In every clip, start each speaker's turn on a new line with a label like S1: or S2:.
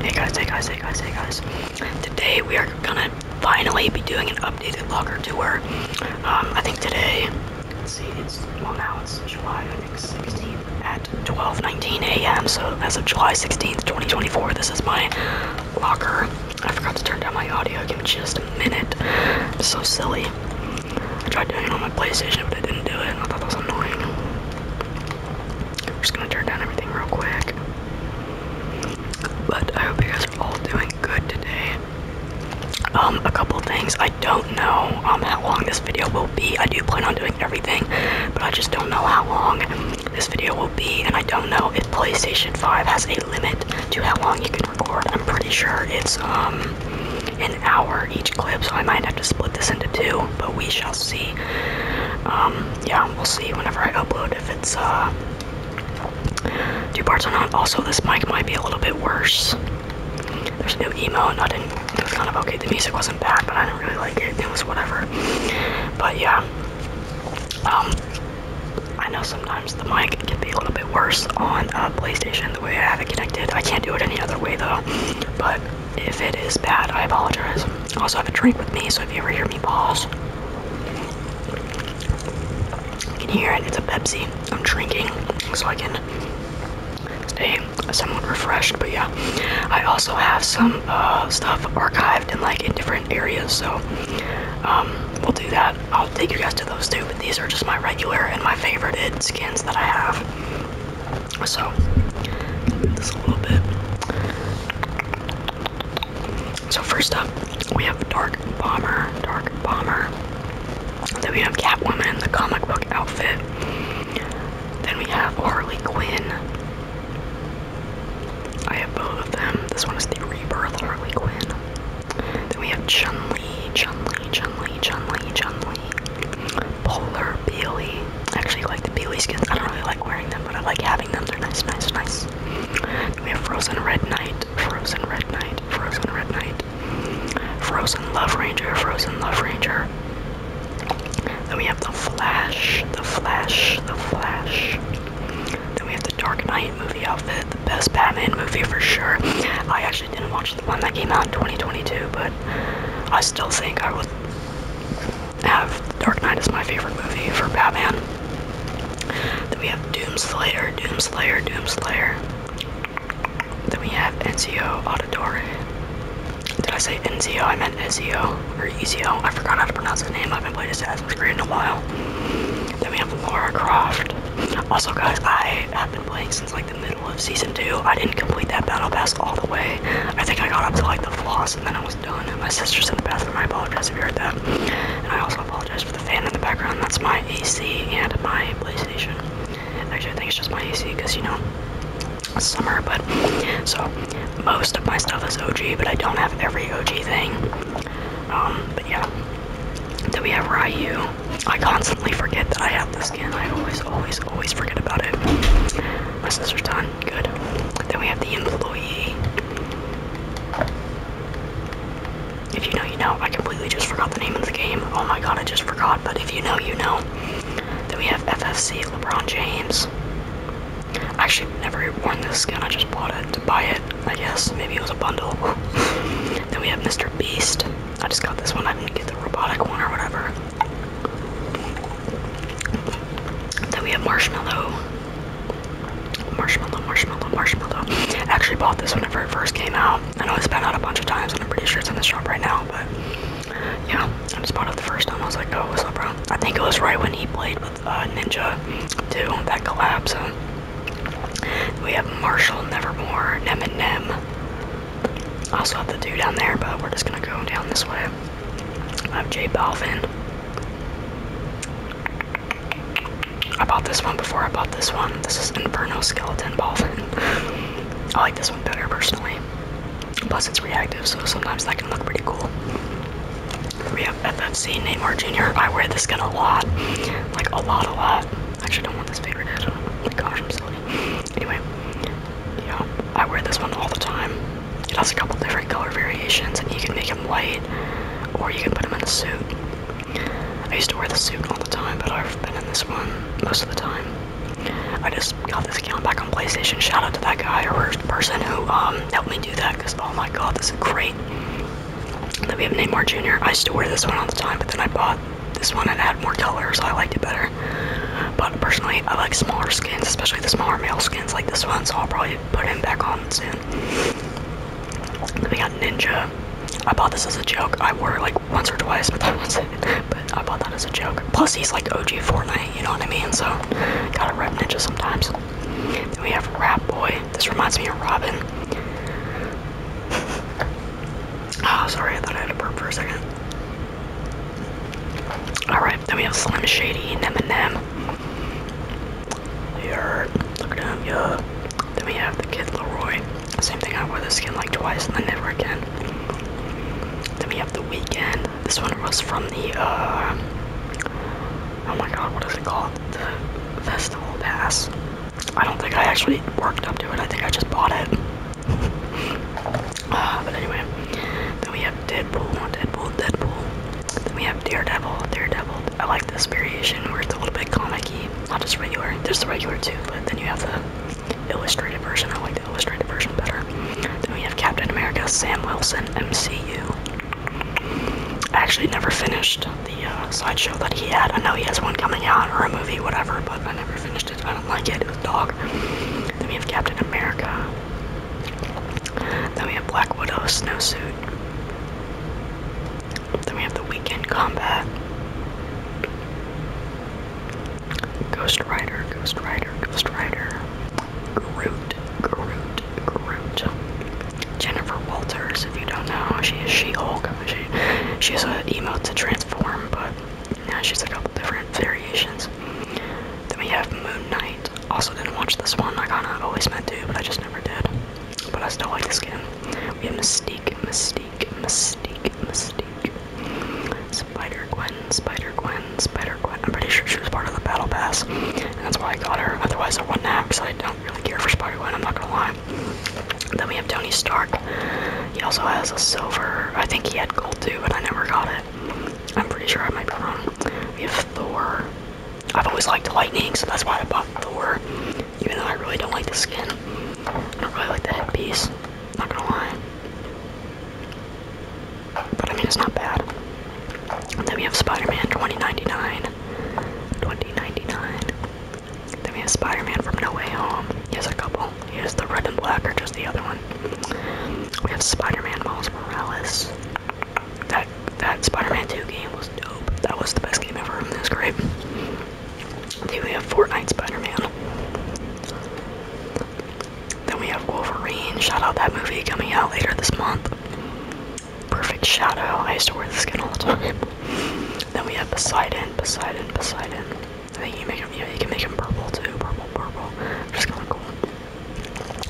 S1: Hey guys, hey guys, hey guys, hey guys. Today we are gonna finally be doing an updated locker tour. Um, I think today, let's see, well now it's July, I think 16th at 12.19 a.m. So as of July 16th, 2024, this is my locker. I forgot to turn down my audio, give me just a minute. so silly. I tried doing it on my PlayStation, but I didn't do it. I thought that was annoying. I'm just gonna turn down everything real quick. But I hope you guys are all doing good today. Um, a couple things. I don't know um how long this video will be. I do plan on doing everything, but I just don't know how long this video will be, and I don't know if PlayStation 5 has a limit to how long you can record. I'm pretty sure it's um an hour each clip, so I might have to split this into two, but we shall see. Um, yeah, we'll see whenever I upload if it's uh, two parts or not. Also, this mic might be a little bit worse. There's no emo, nothing. It was kind of okay. The music wasn't bad, but I didn't really like it. It was whatever. But yeah, um, I know sometimes the mic can be a little bit worse on a PlayStation the way I have it connected. I can't do it any other way though. But if it is bad, I apologize. I also have a drink with me, so if you ever hear me pause, you can hear it. It's a Pepsi. I'm drinking so I can stay somewhat refreshed. But yeah, I also have some uh, stuff archived in like in different areas, so um, we'll do that. I'll take you guys to those too. But these are just my regular and my favorited skins that I have. So, I'll move this a little bit. So first up, we have Dark Bomber, Dark Bomber. Then we have Catwoman, the comic book outfit. Then we have Harley Quinn. I have both of them. This one is the Rebirth Harley Quinn. Then we have Chun Li, Chun Li, Chun Li, Chun Li, Chun Li. Polar Bailey actually like the Peely skins. I don't really like wearing them, but I like having them. They're nice, nice, nice. we have Frozen Red Knight, Frozen Red Knight, Frozen Red Knight, Frozen Love Ranger, Frozen Love Ranger. Then we have the Flash, the Flash, the Flash. Then we have the Dark Knight movie outfit, the best Batman movie for sure. I actually didn't watch the one that came out in 2022, but I still think I would have Dark Knight is my favorite movie for Batman. Then we have Doomslayer, Doomslayer, Doomslayer. Then we have Ezio Auditor. Did I say Ezio? I meant Ezio or Ezio. I forgot how to pronounce his name. I haven't played Assassin's Creed in a while. Then we have Laura Croft. Also, guys, I have been playing since like the middle of season two. I didn't complete that battle pass all the way. I think I got up to like the floss and then I was done. And my sister's in the bathroom. I apologize if you heard that. And I also apologize for the fan in the background. That's my AC and my PlayStation. Actually, I think it's just my AC because, you know, summer. But so most of my stuff is OG, but I don't have every OG thing. Um, but yeah. Then we have Ryu. I constantly forget that I have this skin. I always, always, always forget about it. My sister's time good. Then we have the employee. If you know, you know. I completely just forgot the name of the game. Oh my god, I just forgot. But if you know, you know. Then we have FFC LeBron James. actually never worn this skin. I just bought it to buy it. I guess maybe it was a bundle. then we have Mr. Beast. I just got this one. I didn't get the robotic one or whatever. Then we have Marshmallow. Marshmallow, marshmallow, marshmallow. actually bought this whenever it first came out. I know it's been out a bunch of times, and I'm pretty sure it's in the shop right now, but yeah, I just bought it the first time. I was like, oh, what's up, bro? I think it was right when he played with uh, Ninja, too, that collapse. so. We have Marshall, Nevermore, Nem and Nem. Also have the dude down there, but we're just gonna go down this way. I am Jay Balvin. I bought this one before I bought this one. This is Inferno Skeleton Ballfin. I like this one better personally. Plus it's reactive, so sometimes that can look pretty cool. We have FFC Neymar Jr. I wear this skin a lot. Like a lot, a lot. Actually I don't want this faded. Oh my gosh, I'm silly. Anyway, yeah, I wear this one all the time. It has a couple different color variations, and you can make him white, or you can put him in a suit. I used to wear the suit all the time, but I've been in this one most of the time. I just got this account back on PlayStation. Shout out to that guy or person who um, helped me do that, because oh my god, this is great. Then we have Neymar Jr. I used to wear this one all the time, but then I bought this one and had more colors. So I liked it better. But personally, I like smaller skins, especially the smaller male skins like this one, so I'll probably put him back on soon. We got Ninja. I bought this as a joke. I wore it like once or twice, but that was it. But I bought that as a joke. Plus, he's like OG Fortnite, you know what I mean? So, gotta rep Ninja sometimes. Then we have Rap Boy. This reminds me of Robin. Oh, sorry, I thought I had to burp for a second. Alright, then we have Slim Shady and Eminem. Yeah, look at him, yeah. Then we have the kid Leroy. Same thing, I wore this skin like twice and then never again. Then we have the weekend. This one was from the uh oh my god, what is it called? The festival pass. I don't think I actually worked up to it, I think I just bought it. uh, but anyway, then we have Deadpool, Deadpool, Deadpool. Then we have Daredevil, Daredevil. I like this variation where it's a little bit comical. Not just regular, there's the regular too, but then you have the illustrated version. I like the illustrated version better. Then we have Captain America, Sam Wilson, MCU. I actually never finished the uh, sideshow that he had. I know he has one coming out or a movie, whatever, but I never finished it. I don't like it. dog. Then we have Captain America. Then we have Black Widow snowsuit. Then we have the Weekend Combat. Ghost Rider, Ghost Rider, Ghost Rider. Groot, Groot, Groot. Jennifer Walters, if you don't know, she is She-Hulk. She, she has an emote to transform, but now yeah, she's a couple different variations. Then we have Moon Knight. Also didn't watch this one. I kinda always meant to, but I just never did. But I still like this game. We have Mystique, Mystique, Mystique, Mystique. Spider Gwen, Spider Gwen, Spider Gwen. I'm pretty sure she was part of the battle pass. And that's why I got her. Otherwise I wouldn't have because I don't really care for Spider Gwen, I'm not gonna lie. Then we have Tony Stark. He also has a silver I think he had gold too, but I never got it. I'm pretty sure I might be wrong. We have Thor. I've always liked lightning, so that's why I bought Thor. Even though I really don't like the skin. I don't really like the headpiece, not gonna lie. But I mean, it's not bad. then we have Spider-Man 2099. 2099. Then we have Spider-Man from No Way Home. He has a couple. He has the red and black or just the other one. We have Spider-Man Miles Morales that that Spider-Man 2 game was dope. That was the best game ever. It was great. Then we have Fortnite Spider-Man. Then we have Wolverine. Shout out that movie coming out later this month. Perfect Shadow. I used to wear this skin all the time. then we have Poseidon, Poseidon, Poseidon. I think you can make him purple too. Purple, purple. Just kind of cool.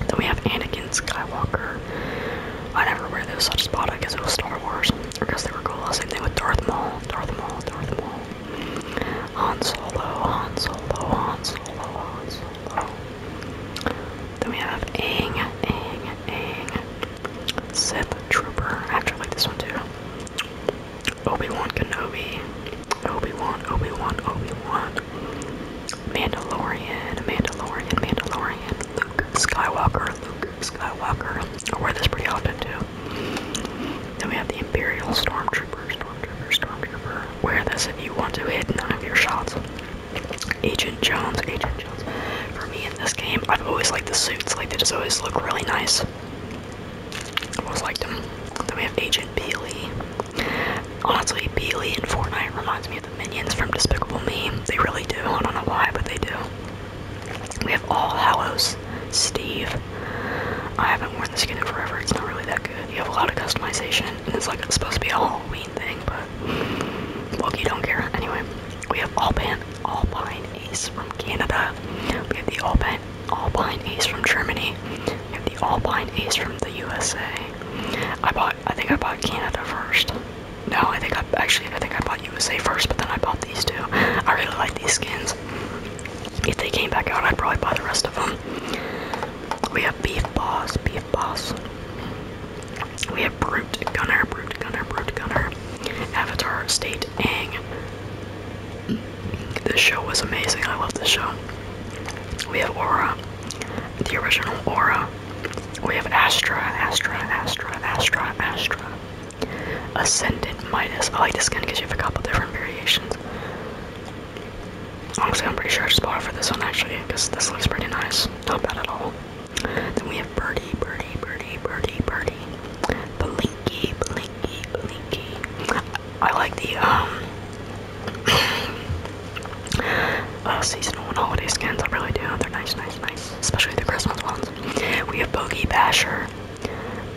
S1: Then we have Anakin Skywalker. I never wear those such spot because it was Star Wars. Because they were cool. Same thing with Darth Maul. Darth Maul. Darth Maul. Han Solo. Han Solo. Han Solo. Han Solo. Then we have Aang. Aang. Aang. Sith Trooper. actually like this one too. Obi-Wan Kenobi. Obi-Wan. Obi-Wan. Obi-Wan. Mandalorian, Mandalorian, Mandalorian, Luke Skywalker, Luke Skywalker. I wear this pretty often too. Then we have the Imperial Stormtrooper, Stormtrooper, Stormtrooper. Wear this if you want to hit none of your shots. Agent Jones, Agent Jones. For me in this game, I've always liked the suits. Like they just always look really nice. i always liked them. Then we have Agent Peely. Honestly, Peely in Fortnite reminds me me the minions from Despicable Me. They really do. I don't know why, but they do. We have All Hallows Steve. I haven't worn the skin in forever. It's not really that good. You have a lot of customization, and it's like it's supposed to be a Halloween thing, but Loki don't care. Anyway, we have Alpine Alpine Ace from Canada. We have the Alpine Alpine Ace from Germany. We have the Alpine Ace from the USA. I bought. I think I bought Canada first. No, I think I actually I think I bought USA first, but then I bought these two. I really like these skins. If they came back out, I'd probably buy the rest of them. We have Beef Boss, Beef Boss. We have Brute Gunner, Brute Gunner, Brute Gunner. Avatar State Ang. This show was amazing. I love this show. We have Aura, the original Aura. We have Astra, Astra, Astra, Astra, Astra. Ascendant minus. I like this skin because you have a couple different variations. Honestly, I'm pretty sure I just bought it for this one actually, because this looks pretty nice. Not bad at all. Then we have Birdie, Birdie, Birdie, Birdie, Birdie. Blinky, Blinky, Blinky. I like the, um, uh, seasonal and holiday skins. I really do. They're nice, nice, nice. Especially the Christmas ones. We have Bogey Basher.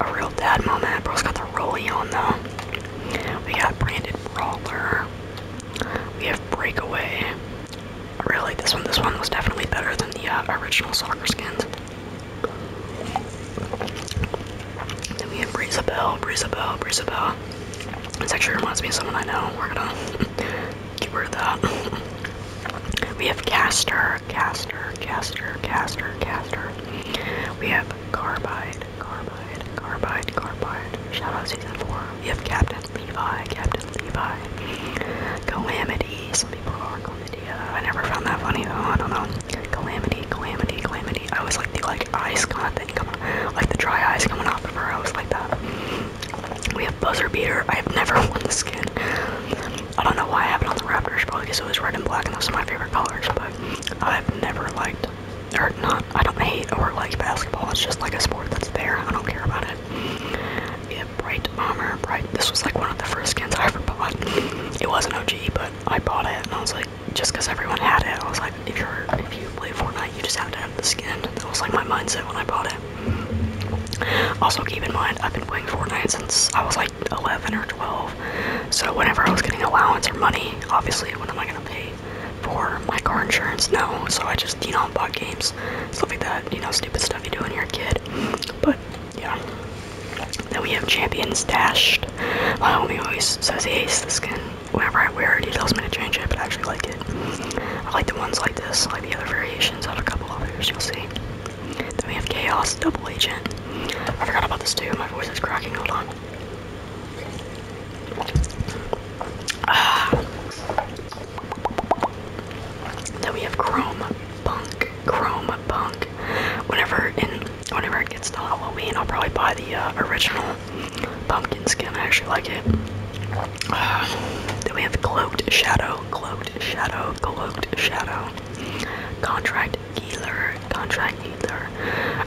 S1: A real dad moment. Bro's got the rolly on though. We got Brandon Brawler. We have Breakaway. really this one. This one was definitely better than the uh, original soccer skins. Then we have Breezabelle, Breezabelle, Breezabelle. This actually reminds me of someone I know. We're gonna Give her that. we have caster, caster, caster, caster, caster. We have Carbide, Carbide, Carbide, Carbide. Shout out season four. We have Captain Levi, Captain Levi. Calamity. Some Calamity. I never found that funny though. I don't know. Calamity, Calamity, Calamity. I was like the like eyes kind of thing coming, like the dry ice coming off of her. I was like that. We have buzzer beater. I have never won the skin. I don't know why I have it on the Raptors, probably because it was red and black, and those are my favorite colors. But I've never liked, or not. I don't hate or like basketball. It's just like a sport that's there. I don't care about it. Yeah, bright bomber, bright. This was like one of the first skins I ever bought. It wasn't OG, but I bought it, and I was like, just because everyone had it, I was like, if you're if you play Fortnite, you just have to have the skin. That was like my mindset when I bought it. Also, keep in mind, I've been playing Fortnite since I was like 11 or 12. So, whenever I was getting allowance or money, obviously, when am I gonna pay for my car insurance? No. So, I just, you know, bought games, stuff like that, you know, stupid stuff you do when you're a kid. But, yeah. Then we have Champions Dashed. My homie always says he hates the skin. Whenever I wear it, he tells me to change it, but I actually like it. I like the ones like this. I like the other variations. I have a couple others. You'll see. Then we have Chaos Double Agent. I forgot about this too. My voice is cracking. Hold on. Ah. Then we have Chrome Punk. Chrome Punk. Whenever whenever it gets to Halloween, I'll probably buy the uh, original pumpkin skin. I actually like it then we have Cloaked Shadow, Cloaked Shadow, Cloaked Shadow. Contract Geiler, Contract Healer.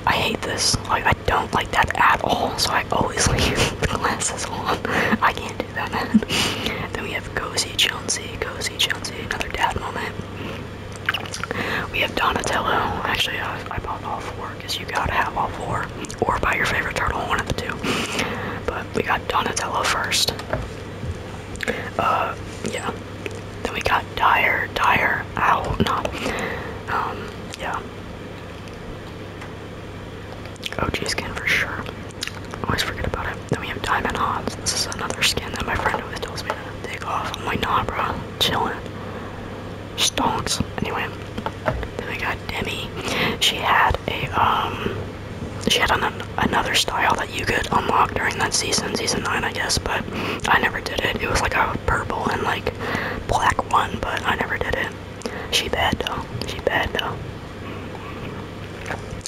S1: I hate this. I don't like that at all, so I always leave the glasses on. I can't do that, then we have Gozi Chelsea, Gozi Chelsea, another dad moment. We have Donatello. Actually, I, I bought all four because you gotta have all four, or buy your favorite turtle, one of the two. But we got Donatello first. Uh, yeah. Then we got Dyer, Dyer, ow, no. Um, yeah. OG oh, skin for sure. Always forget about it. Then we have Diamond Hobbs. This is another skin that my friend always tells me to take off. I'm like, nah, bro. Chillin'. Stonks. Anyway, then we got Demi. She had a um, she had an, another style that you could unlock during that season, season nine, I guess. But I never did it. It was like a purple and like black one, but I never did it. She bad though. She bad though.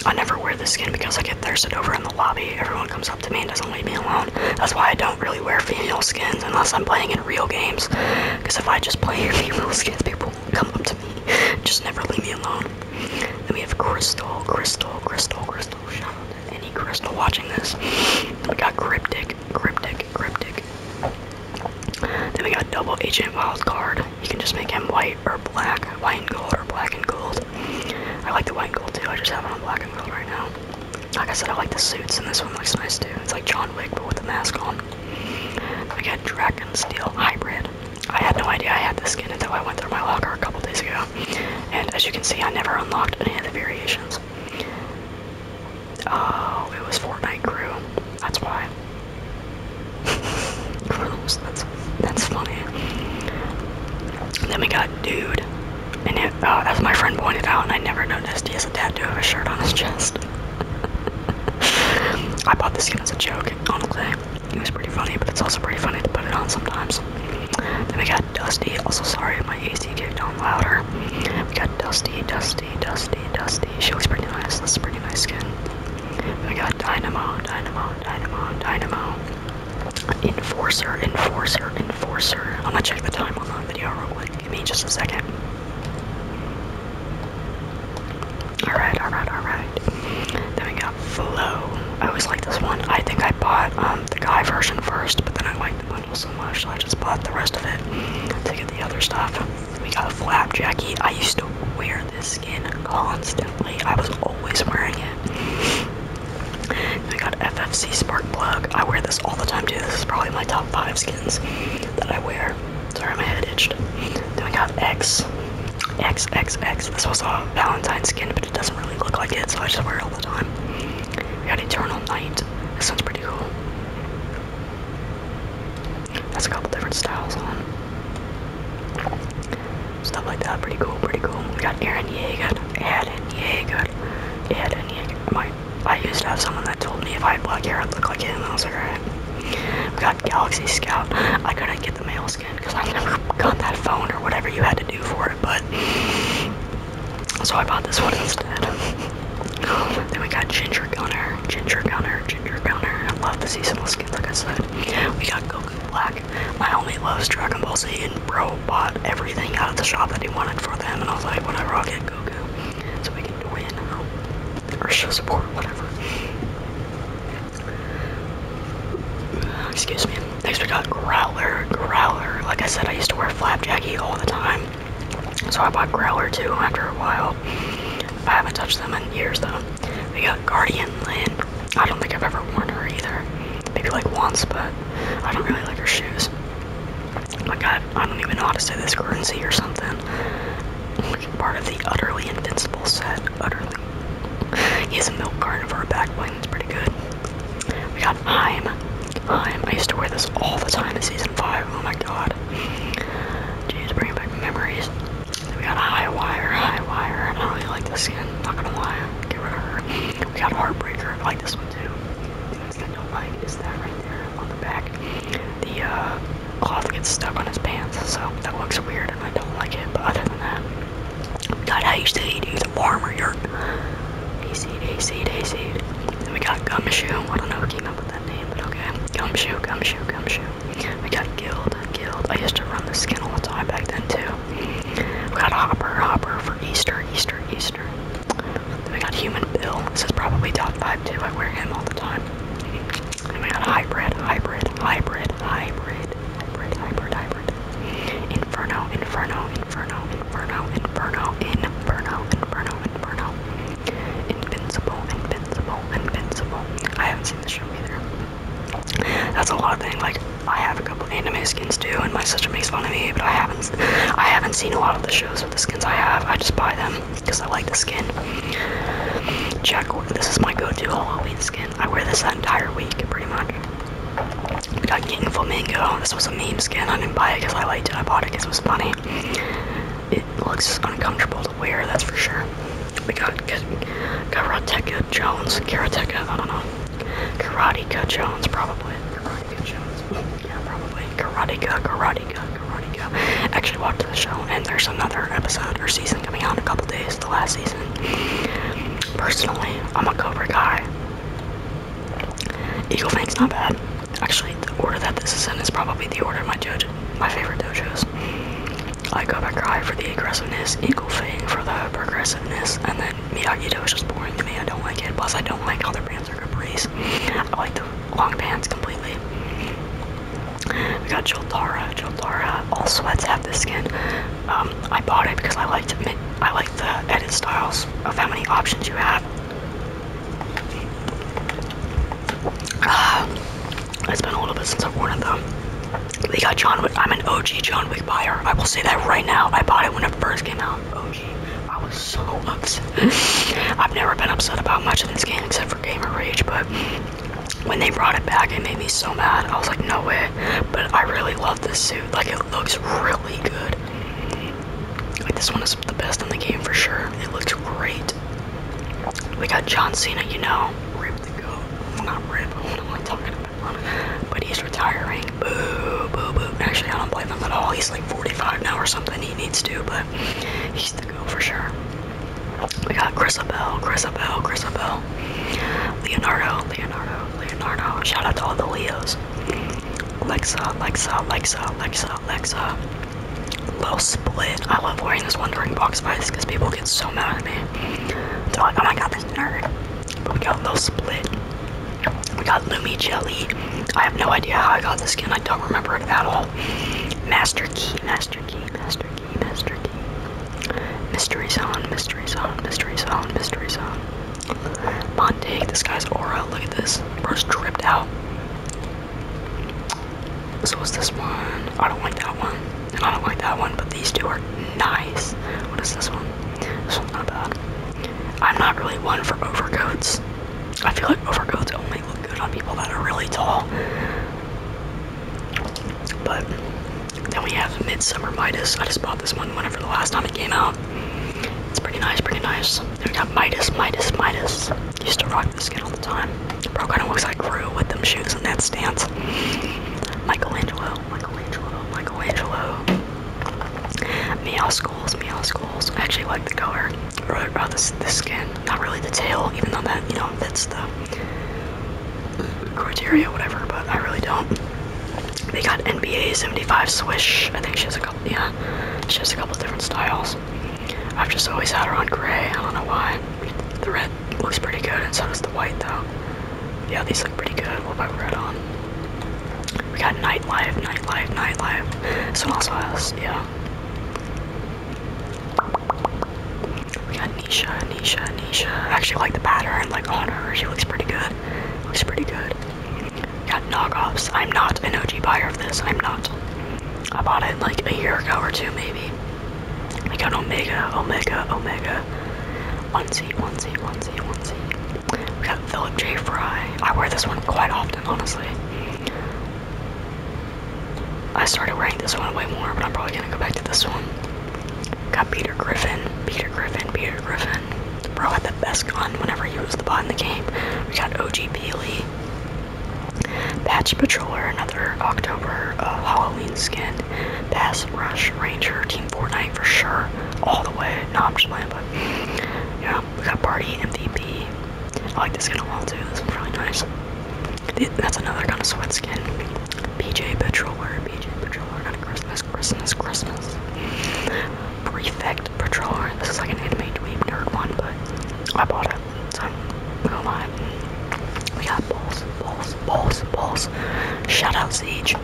S1: I never wear this skin because I get thirsted over in the lobby. Everyone comes up to me and doesn't leave me alone. That's why I don't really wear female skins unless I'm playing in real games. Because if I just play female skins, people come up to me. Just never leave me alone. Then we have Crystal, Crystal, Crystal, Crystal. Shout out to any Crystal watching this. we got Cryptic, Cryptic, Cryptic. Then we got Double Agent Wildcard. You can just make him white or black, white and gold or black and gold. I like the white and gold too. I just have it on black and gold right now. Like I said, I like the suits, and this one looks nice too. It's like John Wick, but with the mask on. We got Dragon Steel Hybrid. I had no idea I had this skin until I went through my locker a couple days ago. And as you can see, I never unlocked any of the variations. Oh, it was Fortnite crew. That's why. Rules. That's that's funny. Then we got dude, and it, uh, as my friend pointed out, and I never noticed, he has a tattoo of a shirt on his chest. I bought this skin as a joke, honestly. It was pretty funny, but it's also pretty funny to put it on sometimes. Then we got Dusty. Also, sorry, my AC kicked on louder. We got Dusty, Dusty, Dusty, Dusty. She looks pretty nice. This is pretty nice skin. Then we got Dynamo, Dynamo, Dynamo, Dynamo. Enforcer, Enforcer, Enforcer. I'm gonna check the time on that video real quick. Give me just a second. Alright, alright, alright. Then we got Flow. I always like this one. I think I bought um, the guy version first, but then I liked the bundle so much, I just bought the rest of it to get the other stuff. We got Flapjacky. I used to wear this skin constantly. I was always wearing it. I got FFC Spark Plug. I wear this all the time, too. This is probably my top five skins that I wear. Sorry, my head itched. Then we got X. X, X, X. This was a Valentine's skin, but it doesn't really look like it, so I just wear it all the time. We had Eternal Night. This sounds pretty cool. That's a couple different styles on. Stuff like that, pretty cool, pretty cool. We got Aaron Yeager. Aaron Yeager. Aaron Yeager. My, I used to have someone that told me if I had black hair, I'd look like him, I was like, alright. We got Galaxy Scout. I couldn't get the male skin because I never got that phone or whatever you had to do for it, but so I bought this one instead. then we got Ginger Gunner, Ginger Gunner, Ginger Gunner. I love the seasonal skins, like I said. We got Goku Black. My homie loves Dragon Ball Z, and bro bought everything out of the shop that he wanted for them, and I was like, whatever, I'll get Goku so we can win or show support, whatever. Excuse me. Next we got Growler. Growler. Like I said, I used to wear Flapjacky all the time. So I bought Growler too after a while. I haven't touched them in years though. We got Guardian Lynn. I don't think I've ever worn her either. Maybe like once, but I don't really like her shoes. Like I, I don't even know how to say this currency or something. Part of the Utterly Invincible set. Utterly He's a milk for a back bling, it's pretty good. We got Heim. Heim, I used to wear this all the time in season 5, oh my god. Jeez, bringing back memories. We got a High Wire, High Wire, I really like this skin, not gonna lie, get rid of her. We got a Heartbreaker, I like this one too. The thing I don't like is that right there on the back. The, uh, cloth gets stuck on his pants, so that looks weird and I don't like it, but other than that, got how you still eat either warm or your hayseed, hayseed, hayseed. Then we got gumshoe, I don't know who came up with that name, but okay. Gumshoe, gumshoe, gumshoe. We got guild, guild. I used to run the skin all the time back then too. We got hopper, hopper for Easter, Easter, Easter. Then we got human bill. This is probably top five too. I wear him all the time. I mean, hybrid, hybrid, hybrid, hybrid, hybrid, hybrid, hybrid. Inferno, inferno, inferno, inferno, inferno, inferno, inferno, inferno. Invincible, invincible, invincible. I haven't seen the show either. That's a lot of things. Like I have a couple anime skins too, and my sister makes fun of me, but I haven't, I haven't seen a lot of the shows with the skins I have. I just buy them because I like the skin. Jack, this is my go-to Halloween skin. I wear this that entire week, pretty much. We got King Flamingo. This was a meme skin. I didn't buy it because I liked it. I bought it because it was funny. It looks uncomfortable to wear, that's for sure. We got Karateka Jones. Karateka, I don't know. Karateka Jones, probably. Karateka Jones. Yeah, probably. Karateka, Karateka, Karateka. Actually watched the show, and there's another episode or season coming out in a couple days the last season. Personally, I'm a Cobra guy. Eagle Fang's not bad. Actually, the order that this is in is probably the order of my dojo, my favorite dojos. I go back for the aggressiveness, Eagle Fang for the progressiveness, and then Miyagi-Do is just boring to me. I don't like it. Plus, I don't like how their pants are capris. I like the long pants completely. We got Childara. Childara All sweats have this skin. Um, I bought it because I liked I like the edit styles of how many options you have. Uh, it's been a little bit since I've worn them. They got John Wick. I'm an OG John Wick buyer. I will say that right now. I bought it when it first came out. OG. I was so upset. I've never been upset about much in this game except for Gamer Rage, but when they brought it back, it made me so mad. I was like, no way. But I really love this suit. Like, it looks really good. Like, this one is the best in the game for sure. It looks great. We got John Cena, you know. Rip the goat. Well, not Rip. What am I talking about? But he's retiring. Boo, boo, boo. Actually, I don't blame him at all. He's like 45 now or something. He needs to, but he's the goat for sure. We got Chrisabel, Chrisabel, Chrisabel, Leonardo, Leonardo, Leonardo. Shout out to all the Leos. Lexa, Lexa, Lexa, Lexa, Lexa. Lil Split. I love wearing this Wondering Box Spice because people get so mad at me. oh my god, this nerd. But we got Lil Split. We got Lumi Jelly. I have no idea how I got this skin. I don't remember it at all. Master Key, Master Key, Master Key, Master Mystery zone, mystery zone, mystery zone, mystery zone. Montague, this guy's aura, look at this. Bro's dripped out. So what's this one? I don't like that one. And I don't like that one, but these two are nice. What is this one? This one's not bad. I'm not really one for overcoats. I feel like overcoats only look good on people that are really tall. But then we have Midsummer Midas. I just bought this one whenever the last time it came out. It's pretty nice, pretty nice. we got Midas, Midas, Midas. Used to rock this skin all the time. Bro kind of looks like crew with them shoes and that stance. Michelangelo, Michelangelo, Michelangelo. Meow schools, meow schools. actually like the color. Really about uh, this, this skin. Not really the tail, even though that, you know, fits the criteria, whatever, but I really don't. They got NBA 75 Swish. I think she has a couple, yeah, she has a couple different styles. I've just always had her on gray. I don't know why. The red looks pretty good, and so does the white, though. Yeah, these look pretty good. We'll put red on? We got Nightlife, Nightlife, Nightlife. This one also has, yeah. We got Nisha, Nisha, Nisha. I actually like the pattern, like on her, she looks pretty good. Looks pretty good. got knockoffs. I'm not an OG buyer of this. I'm not. I bought it like a year ago or two maybe. We got Omega, Omega, Omega. One seat, one seat, one seat, one seat. We got Philip J. Fry. I wear this one quite often, honestly. I started wearing this one way more, but I'm probably gonna go back to this one. Got Peter Griffin, Peter Griffin, Peter Griffin. Bro had the best gun whenever he was the bot in the game. We got OG Peely. Patch Patroller, another October uh, Halloween skin. Pass Rush Ranger, Team Fortnite for sure. All the way. No, I'm just playing, but yeah. We got Party MVP. I like this skin a lot too. This one's really nice. That's another kind of sweat skin. PJ Patroller, PJ Patroller god, Christmas, Christmas, Christmas. Prefect Patroller. This is like an anime dweeb nerd one, but I bought it, so I'm gonna lie. We got balls, balls, balls, balls. Shout out Siege.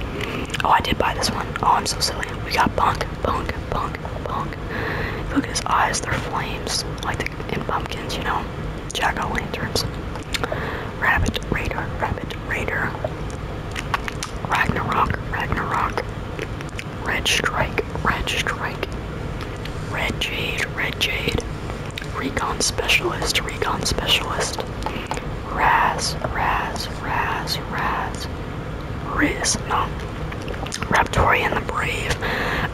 S1: Oh, I did buy this one. Oh, I'm so silly. We got Punk, Punk, Punk, Punk. Look at his eyes, they're flames, like the, in pumpkins, you know? Jack o' lanterns. Rabbit Raider, Rabbit Raider, Ragnarok, Ragnarok, Red Strike, Red Strike, Red Jade, Red Jade, Recon Specialist, Recon Specialist, Raz, Raz, Raz, Raz, Riz, no, Raptorian the Brave.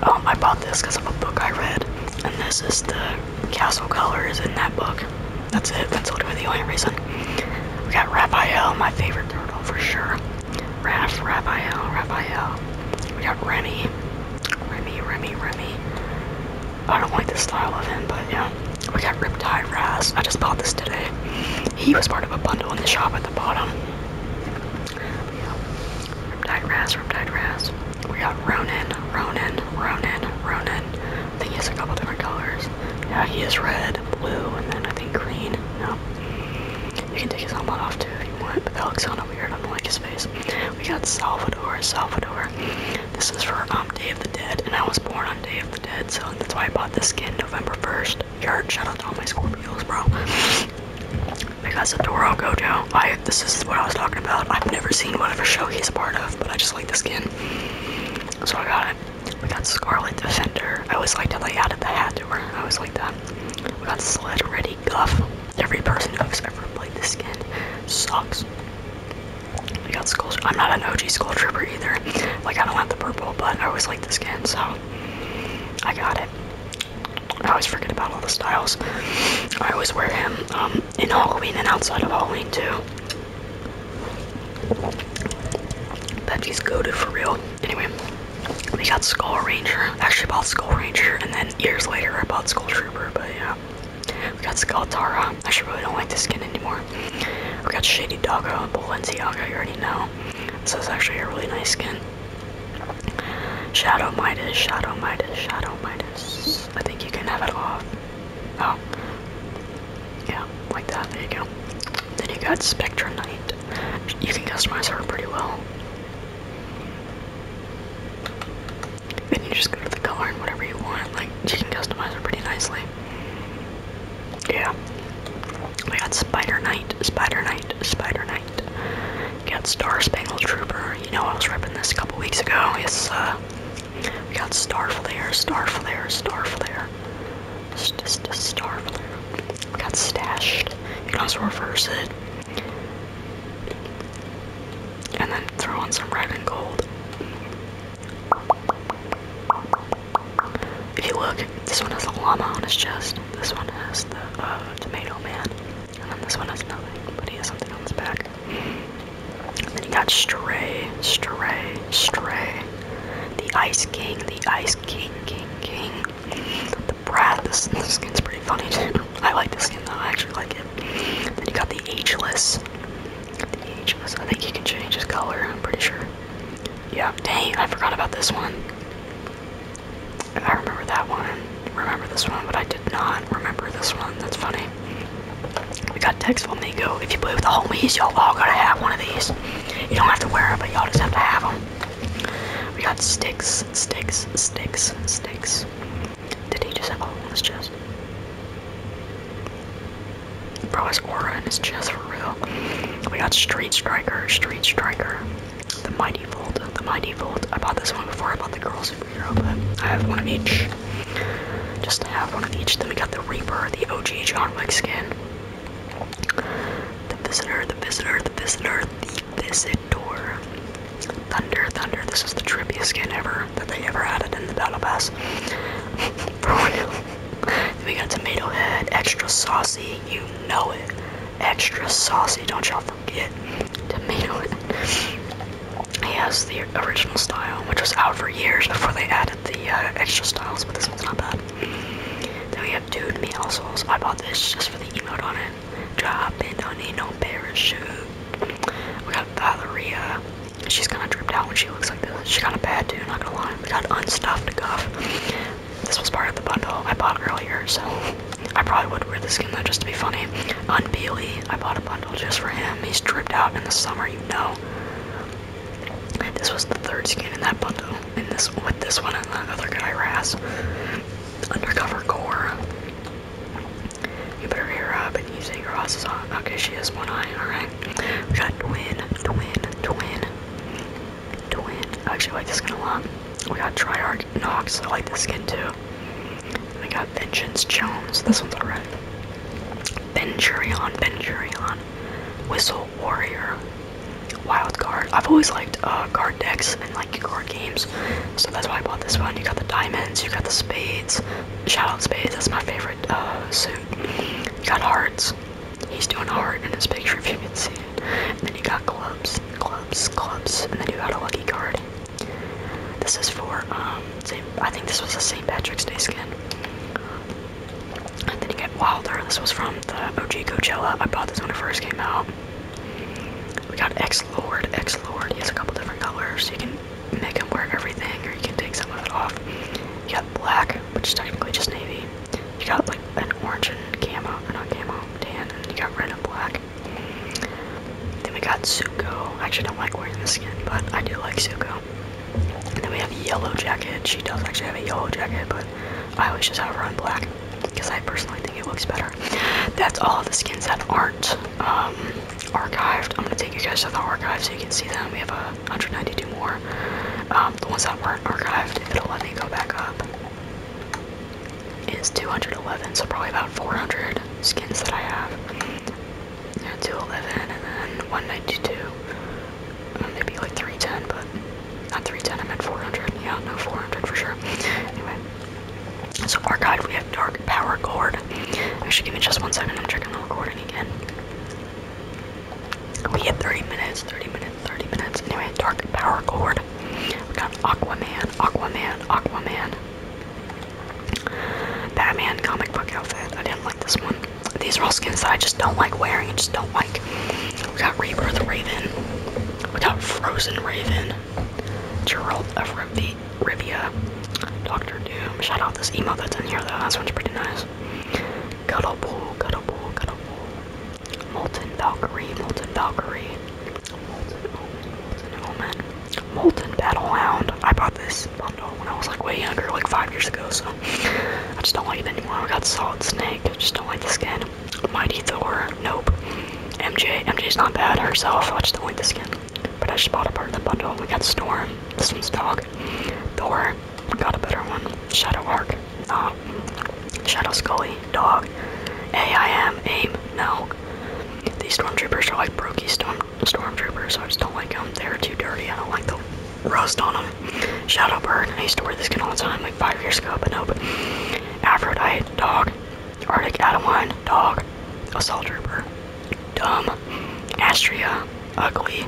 S1: Um, I bought this because of a book I read and this is the castle colors in that book. That's it. That's literally the only reason. We got Raphael, my favorite turtle for sure. Raf, Raphael, Raphael. We got Remy. Remy, Remy, Remy. I don't like the style of him, but yeah. We got Riptide Raz. I just bought this today. He was part of a bundle in the shop at the bottom. Riptide Raz, Riptide Raz. We got Ronin, Ronin, Ronin, Ronin. I think he has a couple different colors. Yeah, he has red, blue, and then I think green. No. You can take his helmet off too if you want, but that looks kinda weird. I don't like his face. We got Salvador, Salvador. This is for um, Day of the Dead, and I was born on Day of the Dead, so that's why I bought this skin November 1st. Yard, shout out to all my Scorpios, bro. Because of Doro door, I, will go, this is what I was talking about. I've never seen whatever show he's a part of, but I just like the skin. So I got it. We got Scarlet Defender. I always liked how they added the hat to her. I always like that. We got Sled Ready Guff. Every person who's ever played this skin sucks. We got Skull I'm not an OG Skull Trooper either. Like, I don't have the purple, but I always like the skin, so I got it. I always forget about all the styles. I always wear him. Um, in Halloween and outside of Halloween too. Pepsi's goaded for real. Anyway, we got Skull Ranger. actually bought Skull Ranger and then years later I bought Skull Trooper, but yeah. We got Skull Tara. actually really don't like this skin anymore. We got Shady Doggo and Balenciaga, you already know. So it's actually a really nice skin. Shadow Midas, Shadow Midas, Shadow Midas. I think you can have it off. Oh. Yeah, like that. There you go. Then you got Spectra Knight. You can customize her pretty well. And you just go to the color and whatever you want. Like, you can customize her pretty nicely. Yeah. We got Spider Knight, Spider Knight, Spider Knight. We got Star Spangled Trooper. You know, I was ripping this a couple weeks ago. It's, uh, we got Starflare, Starflare, Starflare. It's just a Starflare. We got Stashed. You can also reverse it. And then throw on some red and gold. If you look, this one has a llama on his chest. This one has the uh, tomato man. And then this one has nothing, but he has something on his back. And then you got Stray, Stray, Stray, the Ice King, the Ice King, King, King, the Brat. This, skin's pretty funny too. I like this skin though. I actually like it. then you got the Ageless, the Ageless. I think he can change his color. I'm pretty sure. Yeah. Dang, I forgot about this one. I remember that one. Remember this one, but I did not remember this one. That's funny. We got Tex Flamingo. If you play with the homies, y'all all gotta have one of these. You don't have to wear it, but y'all just have to have them. We got Sticks, Sticks, Sticks, Sticks. Did he just have a hole in chest? Bro, his aura in his chest for real. We got Street Striker, Street Striker. The Mighty Volt, the Mighty Volt. I bought this one before I bought the Girl Superhero, but I have one of each. Just to have one of each. Then we got the Reaper, the OG John Wick skin. The Visitor, the Visitor, the Visitor, the Visitor. Thunder, Thunder. This is the trippiest skin ever that they ever added in the Battle Pass. we got Tomato Head, extra saucy. You know it. Extra saucy. Don't y'all forget. Tomato Head. He has the original style, which was out for years before they added added the uh, extra styles, but this one's not bad. Then we have Dude Me also. I bought this just for the emote on it. Drop and don't need no parachute. We got Valeria. She's kind of dripped out when she looks like this. She got a bad too, not gonna lie. We got Unstuffed Guff. This was part of the bundle I bought earlier, so I probably would wear this skin though just to be funny. Unpeely. I bought a bundle just for him. He's dripped out in the summer, you know. This was the third skin in that bundle. And this with this one and another guy Raz. Undercover Gore. You better hear up and you say your ass is on. Okay, she has one eye, alright. We got twin, twin, twin, twin. I actually like this skin a lot. We got Triarch Nox, I like this skin too. We got Vengeance Jones, this one's alright. Benjurion, Benjurion. Whistle, Warrior, Wild Card. I've always liked uh, card decks and like card games, so that's why I bought this one. You got the diamonds, you got the spades, Shoutout Spades, that's my favorite uh, suit. You got hearts, he's doing a heart in his picture if you can see it. And then you got clubs, clubs, clubs, and then you got a lucky card. This is for, um, I think this was the St. Patrick's Day skin. And then you get Wilder. This was from the OG Coachella. I bought this when it first came out. We got X Lord. X Lord. He a couple different colors. you can make him wear everything, or you can take some of it off. You got black, which is technically just navy. You got like an orange and camo, or not camo, tan, and you got red and black. Then we got Zuko. I actually don't like wearing this skin, but I do like Zuko. And then we have Yellow Jacket. She does actually have a yellow jacket, but I always just have her in black because I personally think it looks better. That's all the skins that aren't um, archived. I'm gonna take you guys to the archive so you can see them. We have 192 more. Um, the ones that weren't archived, if it'll let me go back up, is 211. So probably about 400 skins that I have. Yeah, 211 and then 192. Well, maybe like 310, but not 310, I am at 400. Yeah, no, 400 for sure. Anyway, so our guide, we have Dark Power Cord. should give me just one second, I'm checking the recording again. We had 30 minutes, 30 minutes, 30 minutes. Anyway, Dark Power Cord. We got Aquaman, Aquaman, Aquaman. Batman comic book outfit. I didn't like this one. These are all skins that I just don't like wearing and just don't like. We got Rebirth Raven. We got Frozen Raven. Gerald of Rivi Rivia. Doctor Doom. Shout out this emo that's in here though. That's one's pretty nice. Cuddlepool, Cuddlepool, Cuddlepool. Molten Valkyrie, Molten Valkyrie. Molten Omen, Molten Omen. Molten Battlehound. I bought this bundle when I was like way younger, like five years ago, so I just don't like it anymore. We got Solid Snake, just don't like the skin. Mighty Thor, nope. MJ, MJ's not bad herself, I just don't like the skin. But I just bought a part of the bundle. We got Storm, this one's dog. Thor, got a better one. Shadow Arc, no. Uh, Shadow Scully, dog. AIM, AIM, no. These stormtroopers are like brokey storm stormtroopers, so I just don't like them. They're too dirty, I don't like them roast on them. Shout out Bird. I used to wear this skin all the time like five years ago, but no. But Aphrodite, dog. Arctic Adamine, dog. Assault Trooper, dumb. Astria, ugly.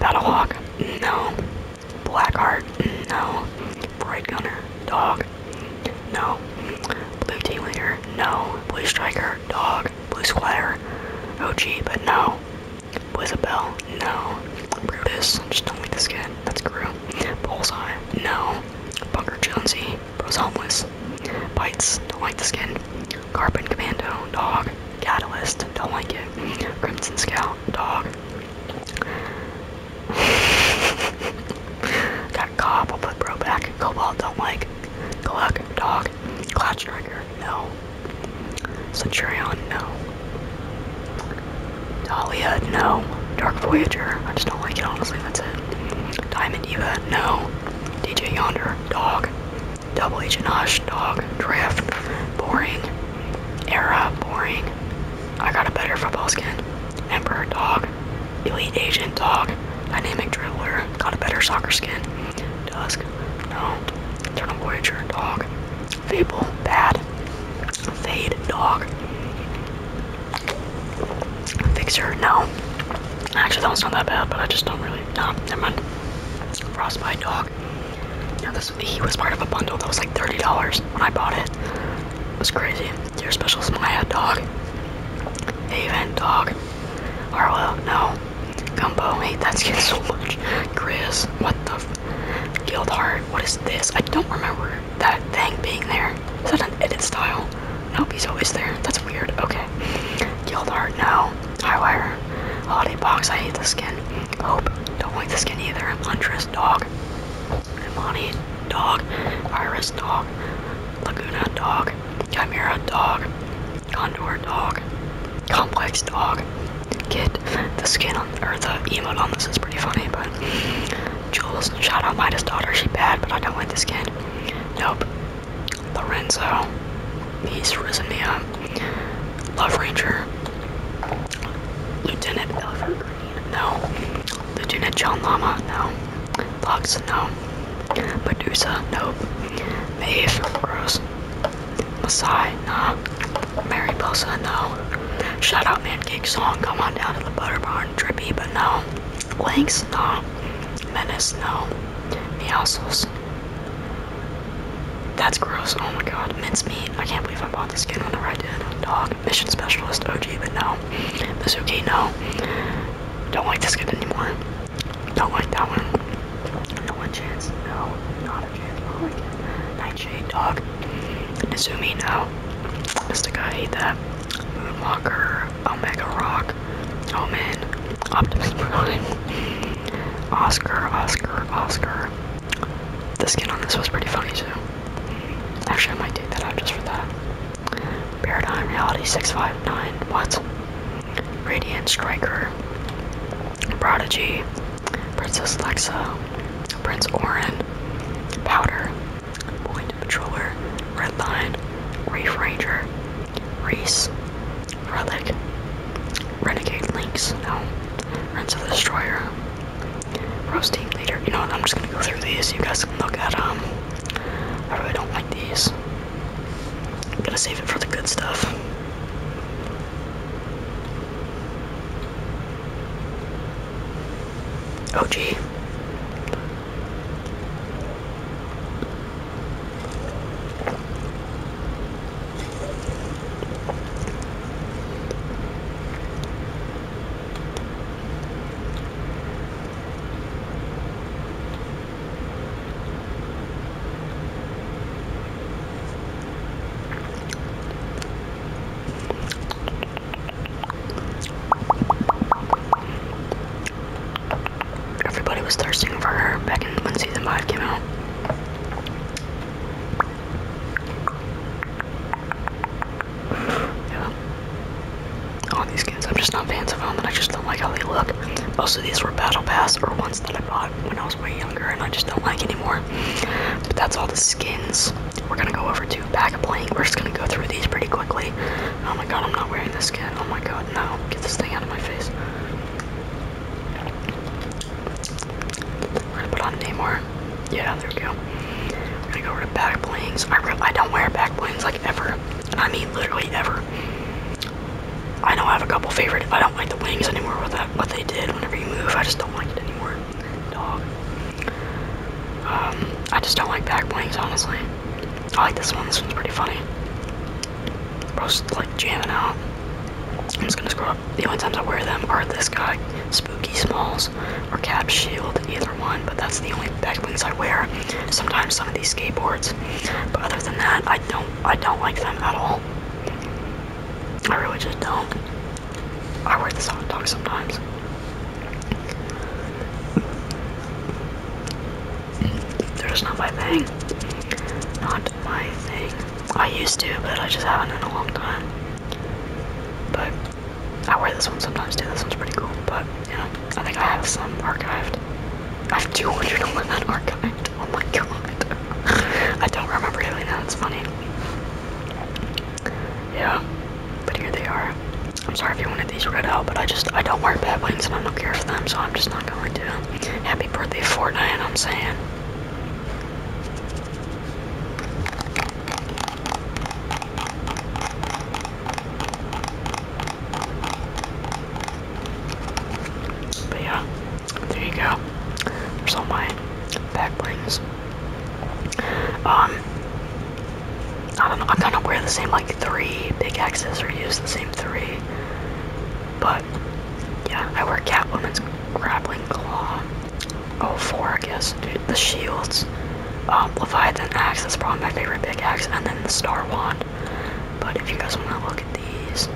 S1: Battlehawk, no. Blackheart, no. Bright Gunner, dog. No. Blue Team Leader, no. Blue Striker, dog. Blue Squire, OG, but no. With bell? No. Brutus? Just don't like this guy. That's Gru. Bullseye? No. Bunker Jonesy? Bro's homeless. Bites? Don't like the skin. Carbon Commando? Dog. Catalyst? Don't like it. Crimson Scout? Dog. Got Cobb, I'll put Bro back. Cobalt, don't like. Gluck, dog. Cloud Striker, Commander, no. Centurion, no. Dahlia, no. Dark Voyager, I just don't like it, honestly, that's it. Diamond Eva, no. DJ Yonder, dog. Double Agent, Hush, dog. Drift, boring. Era, boring. I got a better football skin. Emperor, dog. Elite Agent, dog. Dynamic Dribbler, got a better soccer skin. Dusk, no. Eternal Voyager, dog. Fable, bad. Fade, dog. Fixer, no. Actually, that one's not that bad, but I just don't really. No, never mind. Frostbite, dog. Now this he was part of a bundle that was like thirty dollars when I bought it. It was crazy. Dear Special Smile, dog. Haven, dog. Arlo, no. Gumbo, hey, that skin so much. Chris, what the f Guild Heart, what is this? I don't remember that thing being there. Is that an edit style? Nope, he's always there. That's weird. Okay. Guild Heart, no. Highwire. Holiday Box, I hate the skin. Hope, don't like the skin either. Huntress, dog. Imani, dog. Iris, dog. Laguna, dog. Chimera, dog. Condor, dog complex dog kid. The skin on or the emote on this is pretty funny, but Jules, shout out Midas daughter, she bad, but I don't like the skin. Nope. Lorenzo, he's risen me up. Love Ranger. Lieutenant Elver Green, no. Lieutenant John Lama, no. Lux, no. Medusa, nope. Maeve, gross. Masai, No. Mariposa, no. Shout out Man Cake Song, come on down to the Butter Barn. Trippy, but no. Lynx, no. Menace, no. Meowsles. That's gross, oh my god. Mincemeat, I can't believe I bought this skin whenever I did. Dog, Mission Specialist, OG, but no. Mizuki, no. Don't like this skin anymore. Don't like that one. No one chance, no. No, Oh my god. Nightshade dog. Nizumi, no. Mystica, I hate that. Moonwalker, Omega Rock, Omen, Optimus Prime, Oscar, Oscar, Oscar. The skin on this was pretty funny too. Actually, I might take that out just for that. Paradigm Reality 659, what? Radiant Striker, Prodigy, Princess Alexa, Prince Orin, Powder, Point Patroller, Redline, Reef Ranger, Reese, Relic, Renegade Lynx, no, Prince of the Destroyer, Roasting Leader. You know what, I'm just gonna go through these. You guys can look at um I really don't like these. I'm gonna save it for the good stuff. Oh, gee. Everybody was thirsting for her back in when season five came out. Yeah. All these skins, I'm just not fans of them, and I just don't like how they look. Most of these were battle pass or ones that I bought when I was way younger and I just don't like anymore. But that's all the skins we're gonna go over to back a Blank. We're just gonna go through these pretty quickly. Oh my god, I'm not wearing this skin. Oh my god, no. Get this thing out of my face. We're gonna put on Namor. Yeah, there we go. We're gonna go over to back blings. I, I don't wear back blings like ever. I mean literally ever. I know I have a couple favorite. I don't like the wings anymore with that what they did whenever you move. I just don't like it anymore dog. Um, I just don't like back wings, honestly. I like this one. This one's pretty funny. Bro's like jamming out. I'm just gonna screw up. The only times I wear them are this guy, Spooky Smalls, or Cap Shield, either one, but that's the only back wings I wear. Sometimes some of these skateboards. But other than that, I don't I don't like them at all. I really just don't. I wear this hot dog sometimes. They're just not my thing. Not my thing. I used to, but I just haven't in a long time. But I wear this one sometimes too. This one's pretty cool. But you I think I have some archived. I have 201 archived. Oh my god. I don't remember doing that. It's funny. Yeah, but here they are. I'm sorry if you wanted these red out, but I just, I don't wear Badlands and I don't care for them, so I'm just not going to. Happy birthday, Fortnite, I'm saying. But yeah there you go. There's all my back brings. Um, I don't know. I'm gonna wear the same like three pickaxes or use the same three. But yeah, I wear Catwoman's grappling claw. Oh, four, I guess. the shields. Um, Leviathan axe. That's probably my favorite pickaxe, and then the Star wand. But if you guys wanna look at these,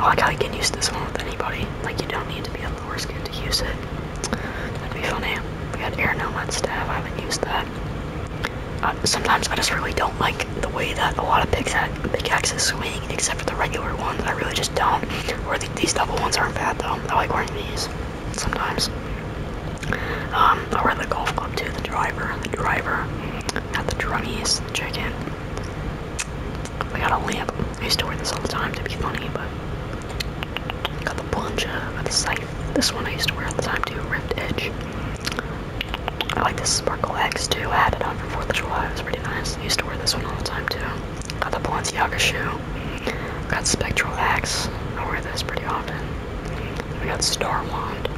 S1: oh, I gotta get used to this one with anybody. Like you don't need to be a and foreskin to use it. That'd be funny. We got air nomad staff. I haven't used that. Uh, sometimes I just really don't like the way that a lot of picks have pickaxes swing, except for the regular ones. I really just don't. Or these double ones aren't bad though. I like wearing these sometimes. Um, I wear the golf club too. The driver, the driver, not the drummies, the chicken. I got a lamp. I used to wear this all the time to be funny, but got the plunger, got the scythe. This one I used to wear all the time too, Rift edge. I like this Sparkle X too. I had it on for 4th of July. It was pretty nice. I used to wear this one all the time too. Got the Balenciaga shoe. Got Spectral Axe. I wear this pretty often. We got Star Wand.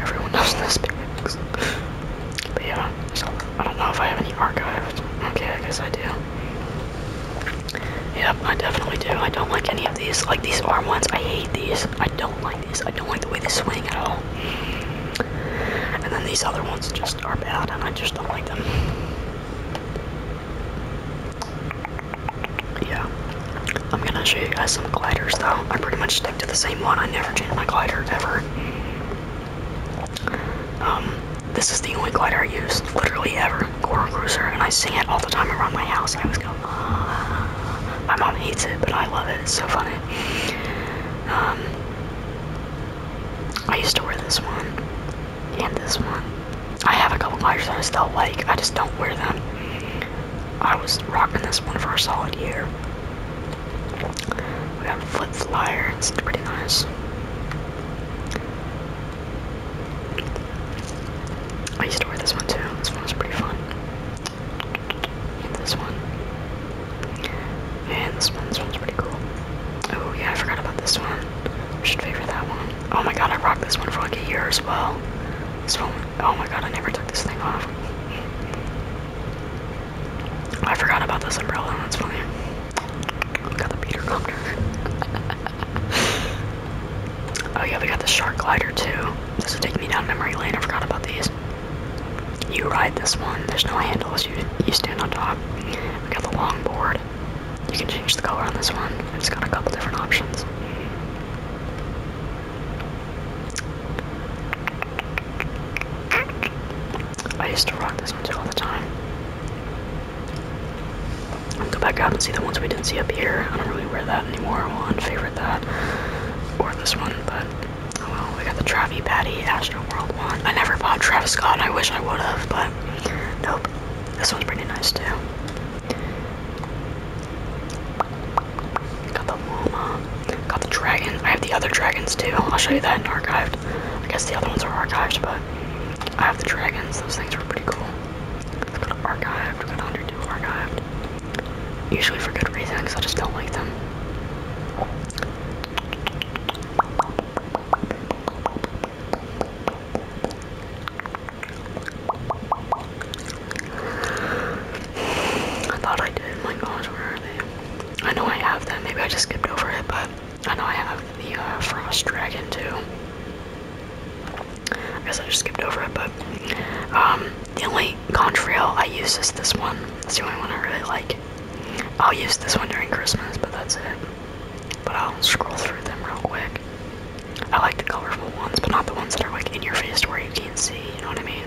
S1: Everyone knows this But yeah, so I don't know if I have any archived. Okay, I guess I do. Yep, I definitely do. I don't like any of these. Like these arm ones, I hate these. I don't like these. I don't like the way they swing at all. And then these other ones just are bad, and I just don't like them. Yeah. I'm gonna show you guys some gliders though. I pretty much stick to the same one. I never change my glider ever. Um, this is the only glider I use, literally ever. Goron Cruiser, and I sing it all the time around my house. I was going, uh, ah. my mom hates it, but I love it. It's so funny. Um, I used to wear this one and this one. I have a couple gliders that I still like. I just don't wear them. I was rocking this one for a solid year. We got flip flyer. It's pretty nice. I used to wear this one too. This one was pretty fun. this one. And this one. This one's pretty cool. Oh yeah, I forgot about this one. I should favor that one. Oh my god, I rocked this one for like a year as well. This one. Oh my god, I never took this thing off. I forgot about this umbrella. That's funny. We got the meter counter. oh yeah, we got the shark glider too. This will take me down memory lane. I forgot about these. You ride this one. There's no handles. You you stand on top. We got the longboard. You can change the color on this one. It's got a couple different options. I used to rock this one too all the time. I'll go back up and see the ones we didn't see up here. I don't really wear that anymore. I'll unfavorite that. Or this one, but oh well. We got the Travi Patty Astro World one. I never bought Travis Scott. I wish I would have, but nope. This one's pretty nice too. Got the llama. Got the dragon. I have the other dragons too. I'll show you that archived. I guess the other ones are archived, but. I have the dragons, those things were pretty cool. archived, I've archived. Usually for good reasons. I just don't like them. I thought I did, my gosh, where are they? I know I have them, maybe I just skipped over it, but I know I have the uh, Frost Dragon too. I guess I just skipped over it, but um, the only contrail I use is this one. It's the only one I really like. I'll use this one during Christmas, but that's it. But I'll scroll through them real quick. I like the colorful ones, but not the ones that are like in your face where you can't see, you know what I mean?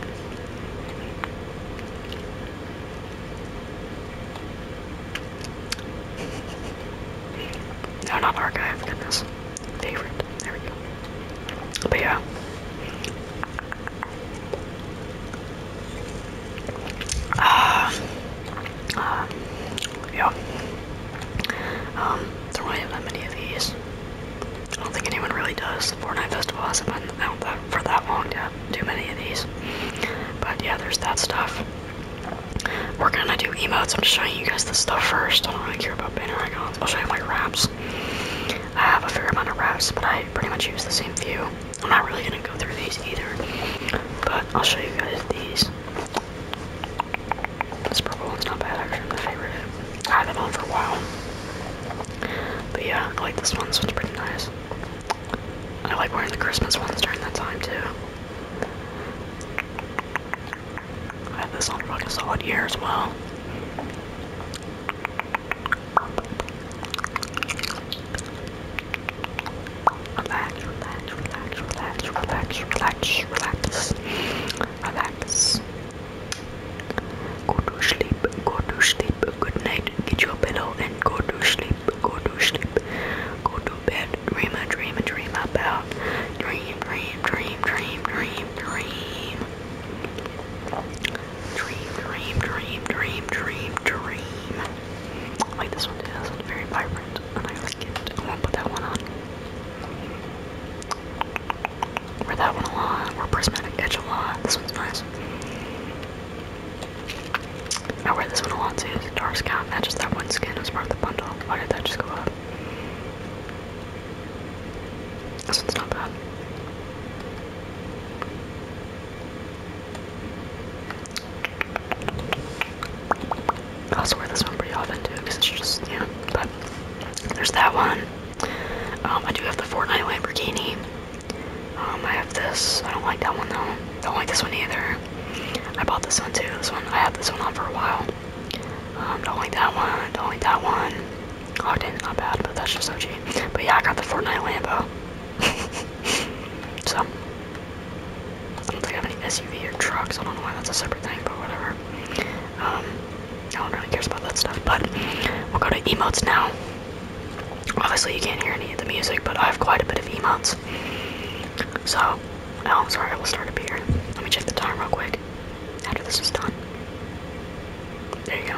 S1: No, not archive, goodness. Favorite. There we go. But yeah. Uh, um, yeah. Um, there really have many of these. I don't think anyone really does. The Fortnite Festival hasn't been out that, for that long to have too many of these. But yeah, there's that stuff. We're gonna do emotes. I'm just showing you guys the stuff first. I don't really care about banner icons. I'll show you my wraps. I have a fair amount of wraps, but I pretty much use the same few. I'm not really gonna go through these either, but I'll show you guys these. This purple one's not bad, actually. My favorite. I have it on for a while. But yeah, I like this one, so it's pretty nice. I like wearing the Christmas ones during that time too. I had this on for like a solid year as well. relax, relax, relax, relax, relax, relax, relax. Go to sleep, go to sleep, good night, get your pillow and go to sleep go to sleep, go to bed, dream a dream, a dream about, dream, dream, dream, dream, dream, dream, dream, dream, dream, dream, dream, dream. I like this one too, this one's very vibrant, and I like it. I won't put that one on. Wear that one a lot, wear Prismatic Edge a lot, this one's nice. I wear this one a lot too. It's a dark sky. Not just that one skin i was part of the bundle. Why did that just go up? This one's not bad. I also wear this one pretty often too because it's just, yeah. know, but there's that one. Um, I do have the Fortnite Lamborghini. Um, I have this. I don't like that one though. Don't like this one either. I bought this one too. This one I had this one on for a while. Um, don't like that one. Don't like that one. Ogden's oh, not bad, but that's just so cheap. But yeah, I got the Fortnite Lambo. so I don't think I have any SUV or trucks. I don't know why that's a separate thing, but whatever. Um, no one really cares about that stuff. But we'll go to emotes now. Obviously, you can't hear any of the music, but I have quite a bit of emotes. So stop. Oh, I'm sorry, I will start up here. Let me check the time real quick after this is done. There you go.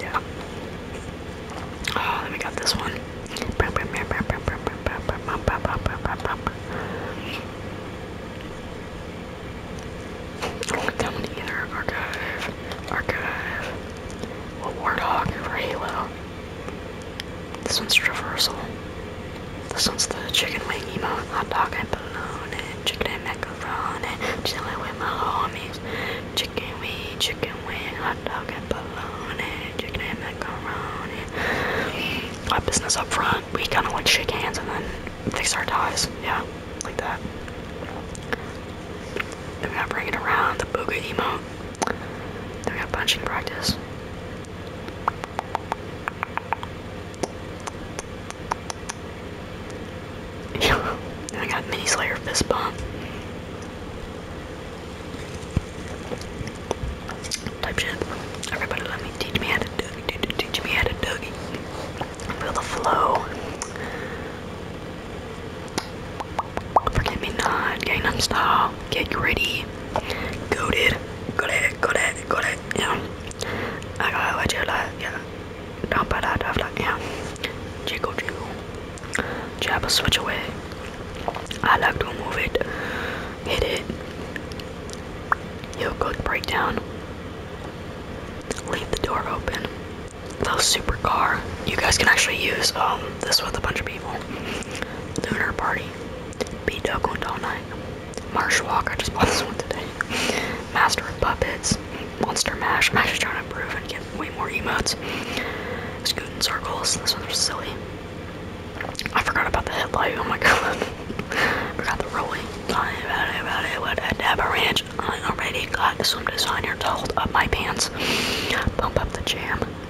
S1: yeah. Oh, then we got this one. I don't like that one either. Archive. Archive. Well, Warthog for Halo. This one's traversal. This one's the chicken wing emote, hot dog and balloon, chicken and macaroni, chilling with my homies. Chicken wing, chicken wing, hot dog and balloon, chicken and macaroni. Our business up front, we kind of want to shake hands and then fix our ties. Yeah, like that. And we gotta bring around, the booga emote. Then we have punching practice. then I got mini slayer fist bump. Type shit. Everybody let me teach me how to doogie, teach me how to doogie. Feel the flow. Forget me not, Gangnam Style, Get Gritty, Goaded, Goaded, Goaded, Goaded, yeah. I got what you like, yeah. Don't buy that, don't that, yeah. Jiggle, jiggle. Jab a switch away. I like to move it, hit it. Yo, good breakdown. Leave the door open. Love supercar. You guys can actually use um this with a bunch of people. Lunar Party. Beat Doggone All Night. Marsh Walk, I just bought this one today. Master of Puppets. Monster Mash. Mash is trying to improve and get way more emotes. Scooting Circles. This one's silly. I forgot about the headlight. Oh my god. forgot the rolling. I about it, about it, what a dab ranch. I already got swim designer to hold up my pants. Pump up the jam.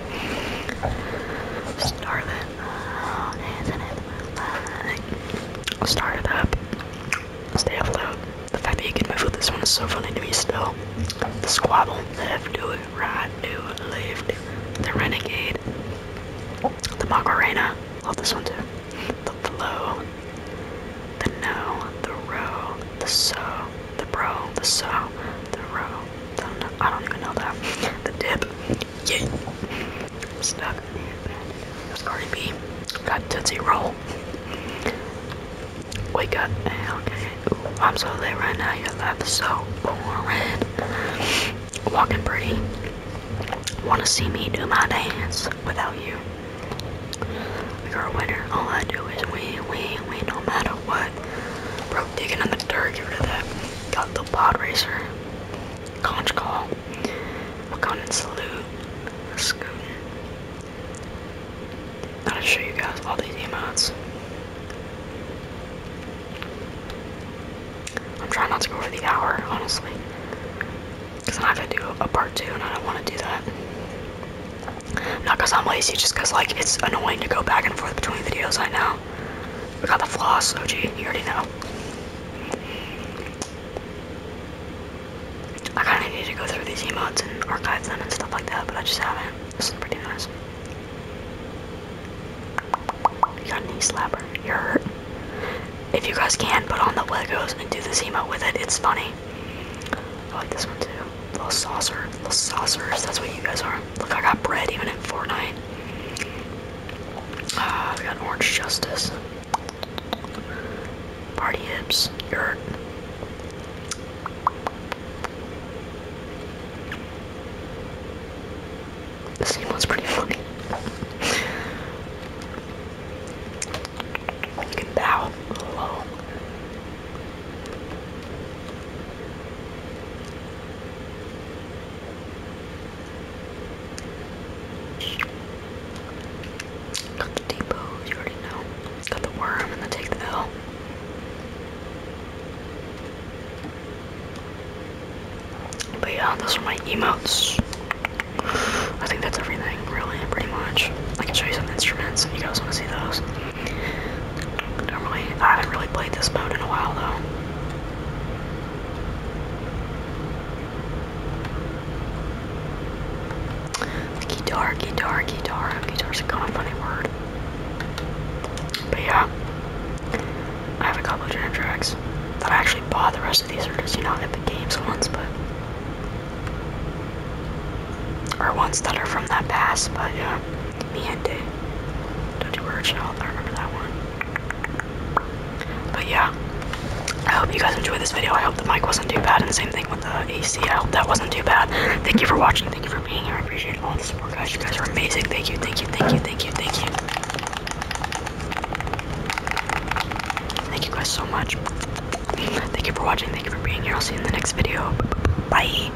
S1: more. Starving. Oh, isn't it? Start it up. Stay afloat. The fact that you can move with this one is so funny to me still. The squabble. Left, do it, right, do it, left. The renegade. The Macarena. Love this one too. The flow. The no. The row. The so. The bro. The so. The row. I don't know. I don't even know that. The dip. Yeah. Stuck in there. That's Cardi B. Got Tootsie Roll. Wake up. Okay. Ooh, I'm so late right now. Your life is so boring. Walking pretty. Wanna see me do my dance without you? You're a winner. All I do is win, win, win, no matter what. Bro, digging in the dirt. Get rid of that got the Pod Racer, Conch Call, Wakandan Salute, Scoot. i gonna show you guys all these emotes. I'm trying not to go over the hour, honestly. Because I have to do a part two and I don't want to do that. Not I'm lazy, just because like it's annoying to go back and forth between videos I right know. I got the floss, OG, you already know. I kinda need to go through these emotes and archive them and stuff like that, but I just haven't. This is pretty nice. You got a knee slapper. You're hurt. If you guys can, put on the Legos and do the emote with it. It's funny. I like this one too. Little saucer. Little saucers. That's what you guys are. Look, I got bread even in Fortnite. Ah, we got Orange Justice. Party Imps, Yurt. This scene was pretty funny. You bow. Hello. Got the depot, you already know. Got the worm and the take the L. But yeah, those are my emotes. I think that's everything, really, pretty much. I can show you some instruments if you guys want to see those. Don't really, I haven't really played this mode in a while though. Guitar, guitar, guitar. Guitar's a kind of funny word. But yeah, I have a couple of jam tracks that I actually bought. The rest of these are just, you know, the Games ones, but. Or ones that are from that past, but yeah. Mi Gente. Don't do original. I remember that one. But yeah. I hope you guys enjoyed this video. I hope the mic wasn't too bad, and the same thing with the AC. I hope that wasn't too bad. Thank you for watching. Thank you for being here. I appreciate all the support, guys. You guys are amazing. Thank you, thank you, thank you, thank you, thank you. Thank you guys so much. Thank you for watching. Thank you for being here. I'll see you in the next video. Bye.